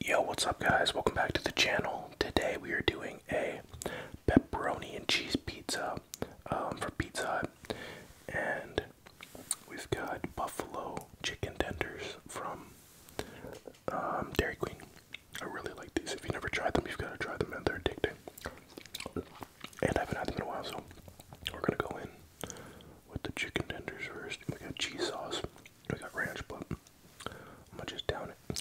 Yo, what's up, guys? Welcome back to the channel. Today we are doing a pepperoni and cheese pizza um, for Pizza and we've got buffalo chicken tenders from um, Dairy Queen. I really like these. If you never tried them, you've got to try them, and they're addicting. And I have been had them in a while, so we're gonna go in with the chicken tenders first. We got cheese sauce. We got ranch, but I'm just down it.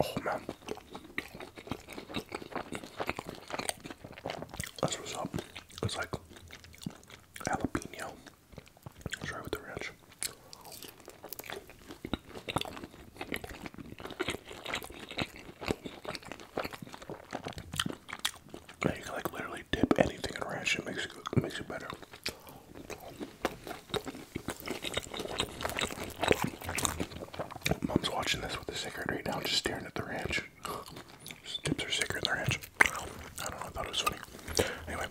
Oh man, that's what's up. It's like jalapeno. Try with the ranch. Yeah, you can like literally dip anything in ranch. It makes it, makes it better. Mom's watching this with a cigarette right now, just staring at the ranch ranch. Tips are sacred in the ranch. I don't know, I thought it was funny. Anyway,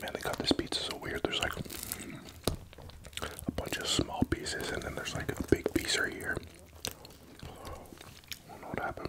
Man, they got this pizza so weird. There's like a bunch of small pieces, and then there's like a big piece right here. I don't know what happened.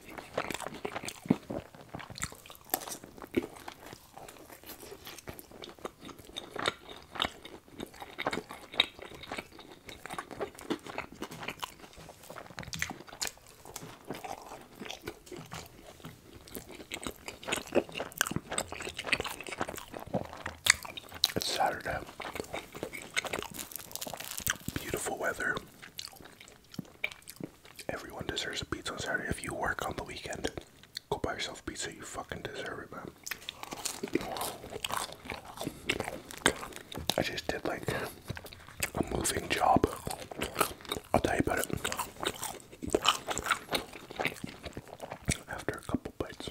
It's Saturday. Beautiful weather. Everyone deserves a pizza on Saturday. If you work on the weekend, go buy yourself pizza. You fucking deserve it, man. I just did like a moving job. I'll tell you about it after a couple bites.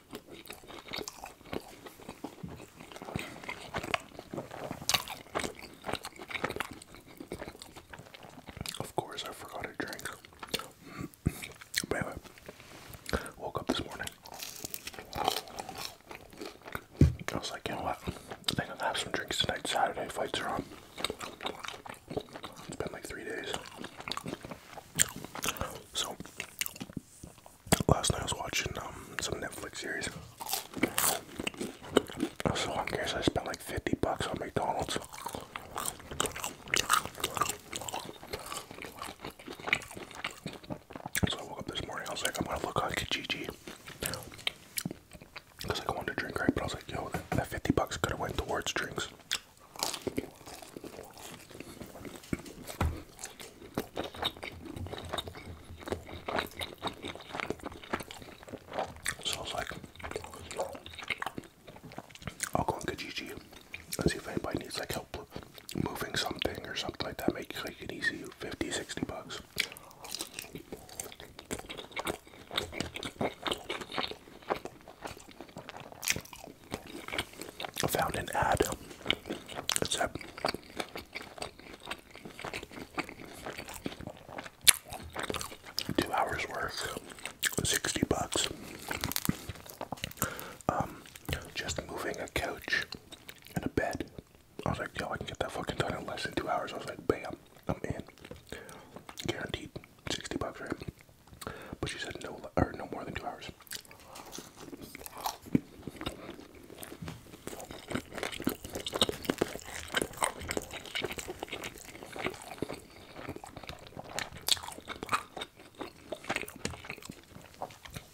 Of course, I forgot a drink. but woke up this morning. I was like, you know what? I think I'm gonna have some drinks tonight. Saturday fights are on. It's been like three days. So last night I was watching um, some Netflix series. I was so I spent like 50 bucks on McDonald's. So I woke up this morning, I was like, I'm gonna look on Kijiji. Because like, I wanted to drink, right? But I was like, yo, that 50 bucks could have went towards drinks. So I like, I'll go on Kijiji and see if anybody needs like help moving something or something like that. Make like an easy 50, 60 bucks. I found an ad. It said two hours work, sixty bucks. Um, just moving a couch and a bed. I was like, yo, I can get that fucking done in less than two hours. I was like, bam, I'm in. Guaranteed, sixty bucks, right? But she said no, or no more than two hours.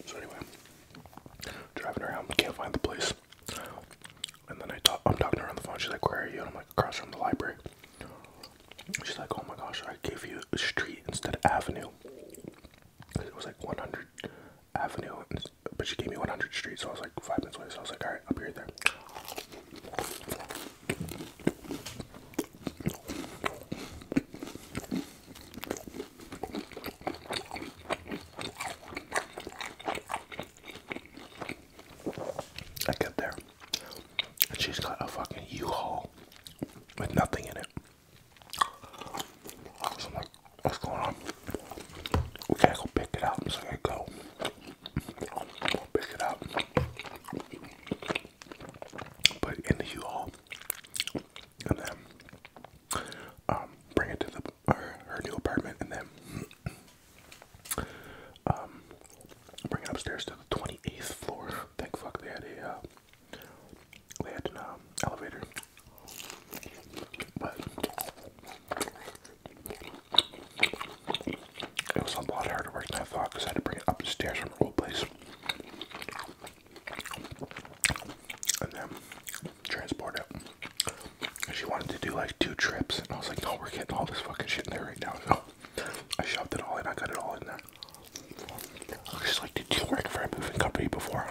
So anyway, driving around, can't find the place. And then I talk, I'm talking around the phone. She's like, "Where are you?" I'm like, "Across from the library." She's like, "Oh my gosh, I gave you a street instead of avenue." it was like 100 Avenue, but she gave me 100 Street, so I was like five minutes away. So I was like, all right, I'll be right there. I get there, and she's got a fucking U-Haul with nothing in it. So I'm like, what's going on? We gotta go pick it up. So I go pick it up. Put it in the U-Haul. And then um, bring it to the her, new apartment and then um, bring it upstairs to the 28th floor. Thank fuck they had a uh, they had an um, elevator it was a lot harder work than I thought because I had to bring it up the stairs from the old place and then transport it. And she wanted to do like two trips, and I was like, no, we're getting all this fucking shit in there right now. I shoved it all in, I got it all in there. Just like did you work for a moving company before?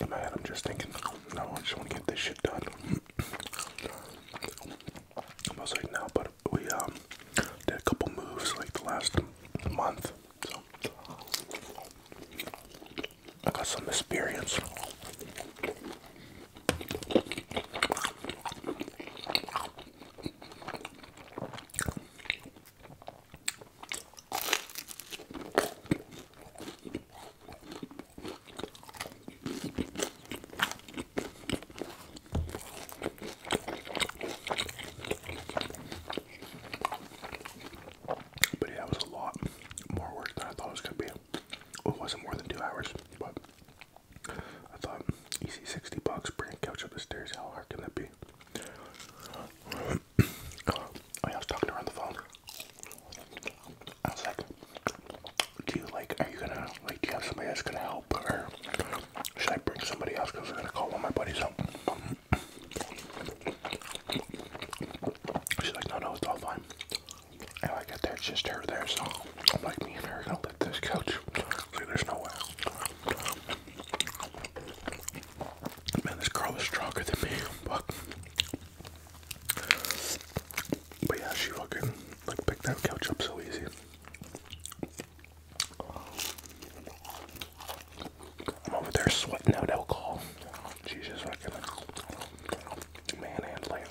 In my head, I'm just thinking, no, I just want to get this shit done. I was like, now, but we um, did a couple moves like the last month, so I got some experience. But yeah, it was a lot more work than I thought it was going to be. It wasn't more than two hours, but I thought, easy 60 bucks, bring a couch up the stairs, how hard can that be? Oh, I was talking to her on the phone. I was like, do you like, are you gonna, like, do you have somebody that's gonna help, or should I bring somebody else, because I'm gonna call one of my buddies up. She's like, no, no, it's all fine. And I get there, it's just her there, so I'm like, me and her are gonna lift this couch. Like, there's no way. Man, this girl is stronger than me, but but yeah, she fucking like picked that couch up so easy. I'm over there sweating out alcohol. She's just fucking manhandling.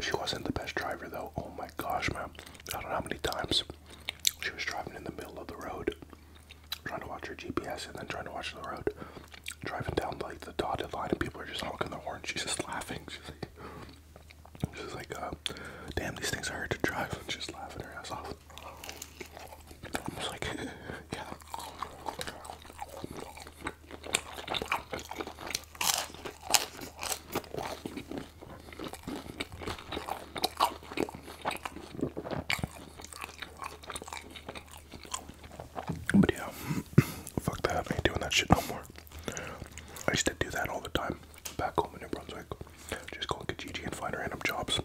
She wasn't the best driver though. Oh my gosh, man. I don't know how many times she was driving in the middle of the road, trying to watch her GPS and then trying to watch the road. Driving down like the dotted line and people are just honking their horns. She's just laughing. She's like, she's like, uh, damn, these things are hard to drive. And she's laughing her ass off. But yeah, fuck that. I ain't doing that shit no more. I used to do that all the time back home in New Brunswick. Just go and get Gigi and find random jobs.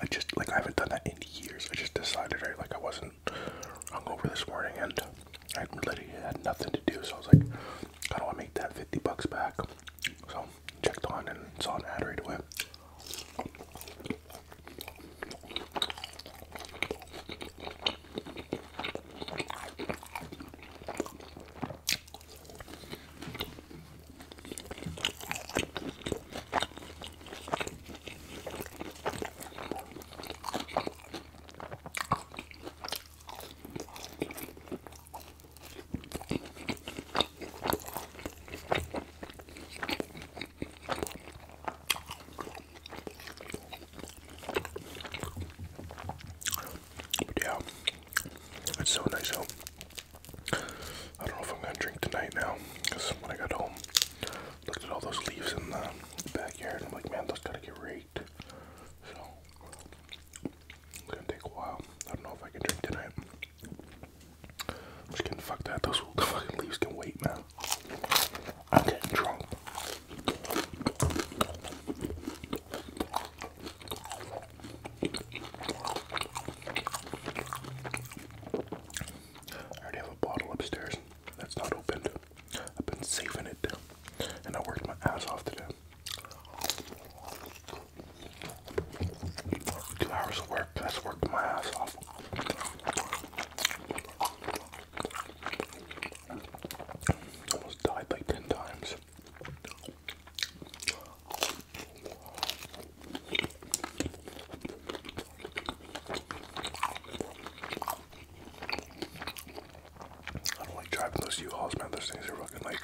I just like I haven't done that in years. I just decided I like I wasn't hungover this morning and I literally had nothing to do, so I was like, how do I make that 50 bucks back. So checked on and saw an ad right away yeah, it's so nice how I don't know if I'm gonna drink tonight now, because when I got home, looked at all those leaves in the backyard, I'm like, man, those gotta get raked. So, it's gonna take a while. I don't know if I can drink tonight. I'm just kidding, fuck that. Those fucking leaves can wait, man. I'm getting drunk. I already have a bottle upstairs that's not opened. I've been saving it, and I worked my ass off today. Two hours of work, that's worked my ass off. Almost died like 10 times. I don't like driving those U-Hauls, man. Those things are fucking like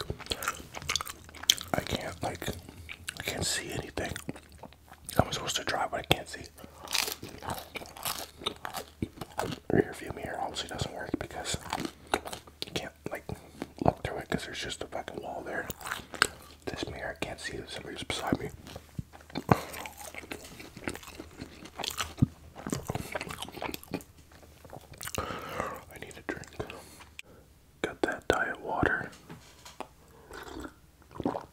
I can't like I can't see anything. I'm supposed to drive, but I can't see. Rear view mirror obviously doesn't work because you can't like look through it because there's just a fucking wall there. This mirror, I can't see it. Somebody's beside me. I need a drink. Got that diet water. Oh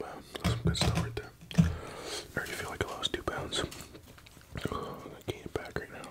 man, some good stuff right there. I already feel like I lost two pounds. I gained it back right now.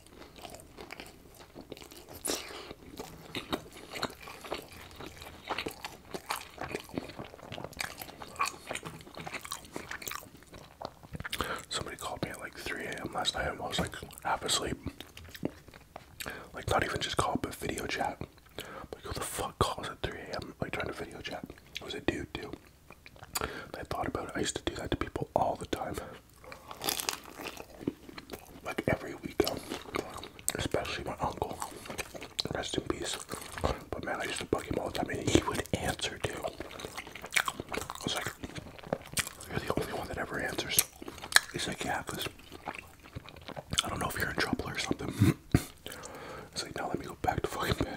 Somebody called me at like 3 a.m. last night and I was like half asleep. Like, not even just call, but video chat. Like, who the fuck calls at 3 a.m.? Like, trying to video chat. It was a dude, too. I thought about it. I used to do that to people all the time like every weekend, um, especially my uncle. Rest in peace. But man, I used to bug him all the time, and he would answer too. I was like, "You're the only one that ever answers." He's like, "Yeah, cause I don't know if you're in trouble or something." It's like, "Now let me go back to fucking bed."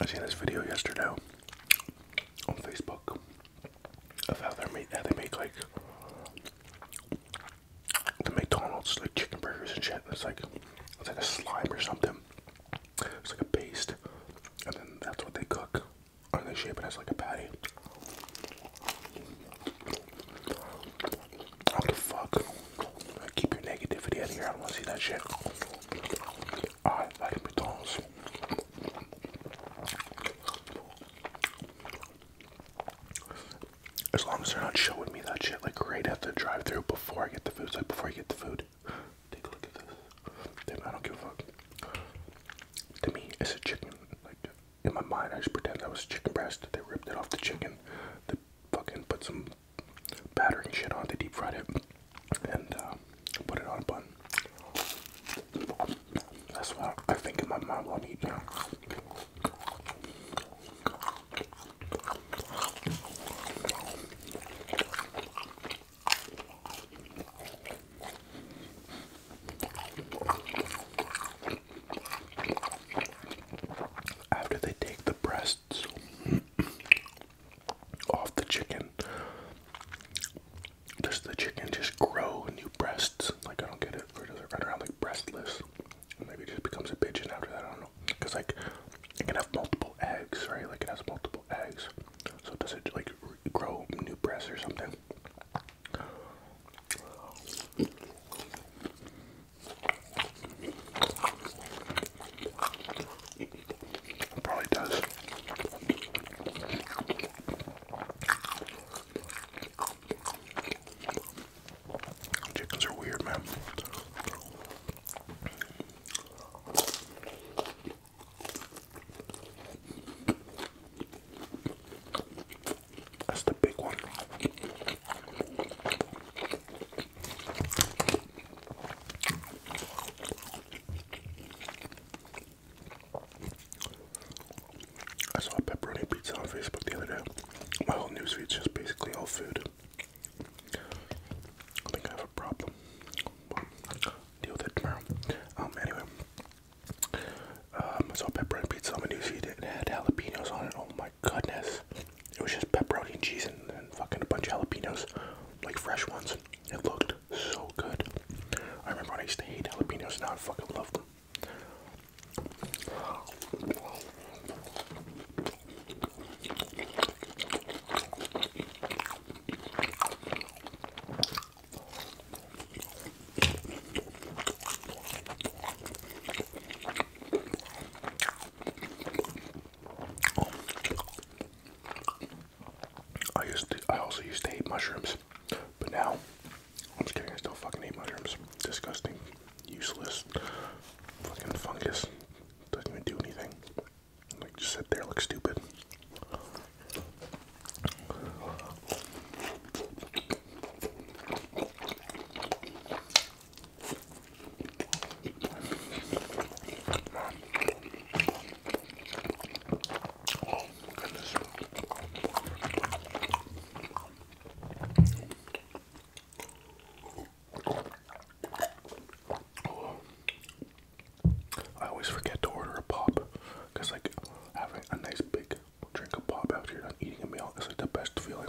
I seen this video yesterday on Facebook of how they made how they make like the McDonald's like chicken burgers and shit. It's like it's like a slime or something. It's like a paste, and then that's what they cook, and they shape it as like a patty. What the fuck? Keep your negativity out of here. I don't want to see that shit. I like McDonald's. As long as they're not showing me that shit like right at the drive through before I get the food. like before I get the food. Take a look at this. I don't give a fuck. To me, it's a chicken. Like in my mind, I just pretend that was chicken breast. that They ripped it off the chicken. They fucking put some battering shit on. They deep fried it and uh, put it on a bun. That's what I think in my mind. I'll eat now. After they take the breasts off the chicken, does the chicken just grow new breasts? Like I don't get it. Or does it run around like breastless? Maybe it just becomes a pigeon after that. I don't know. Cause like it can have multiple eggs, right? Like it has multiple eggs. So does it like grow new breasts or something? probably does. Chickens are weird, man. That's the big one. I saw a pepperoni pizza on Facebook the other day. My whole newsfeed's just basically all food. I think I have a problem. We'll deal with it tomorrow. Um, anyway, um, so pepper and pizza. on am gonna it had jalapenos on it. Oh my goodness, it was just pepperoni and cheese and, and fucking a bunch of jalapenos, like fresh ones. It looked so good. I remember when I used to hate jalapenos. Now I fucking love them. I used to, I also used to hate mushrooms, but now I'm just kidding. I still fucking hate mushrooms. Disgusting, useless, fucking fungus, doesn't even do anything. Like just sit there, look stupid. I always forget to order a pop because, like, having a nice big drink of pop out here are eating a meal is like the best feeling.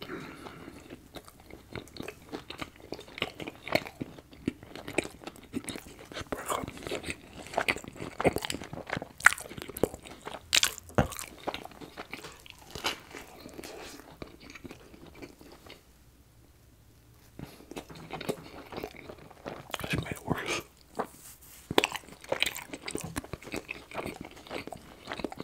Sparkle. This made worse.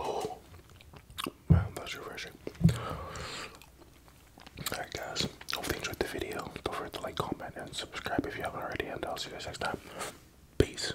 Oh, that's refreshing. Alright, guys, hope you enjoyed the video. Don't forget to like, comment, and subscribe if you haven't already. And I'll see you guys next time. Peace.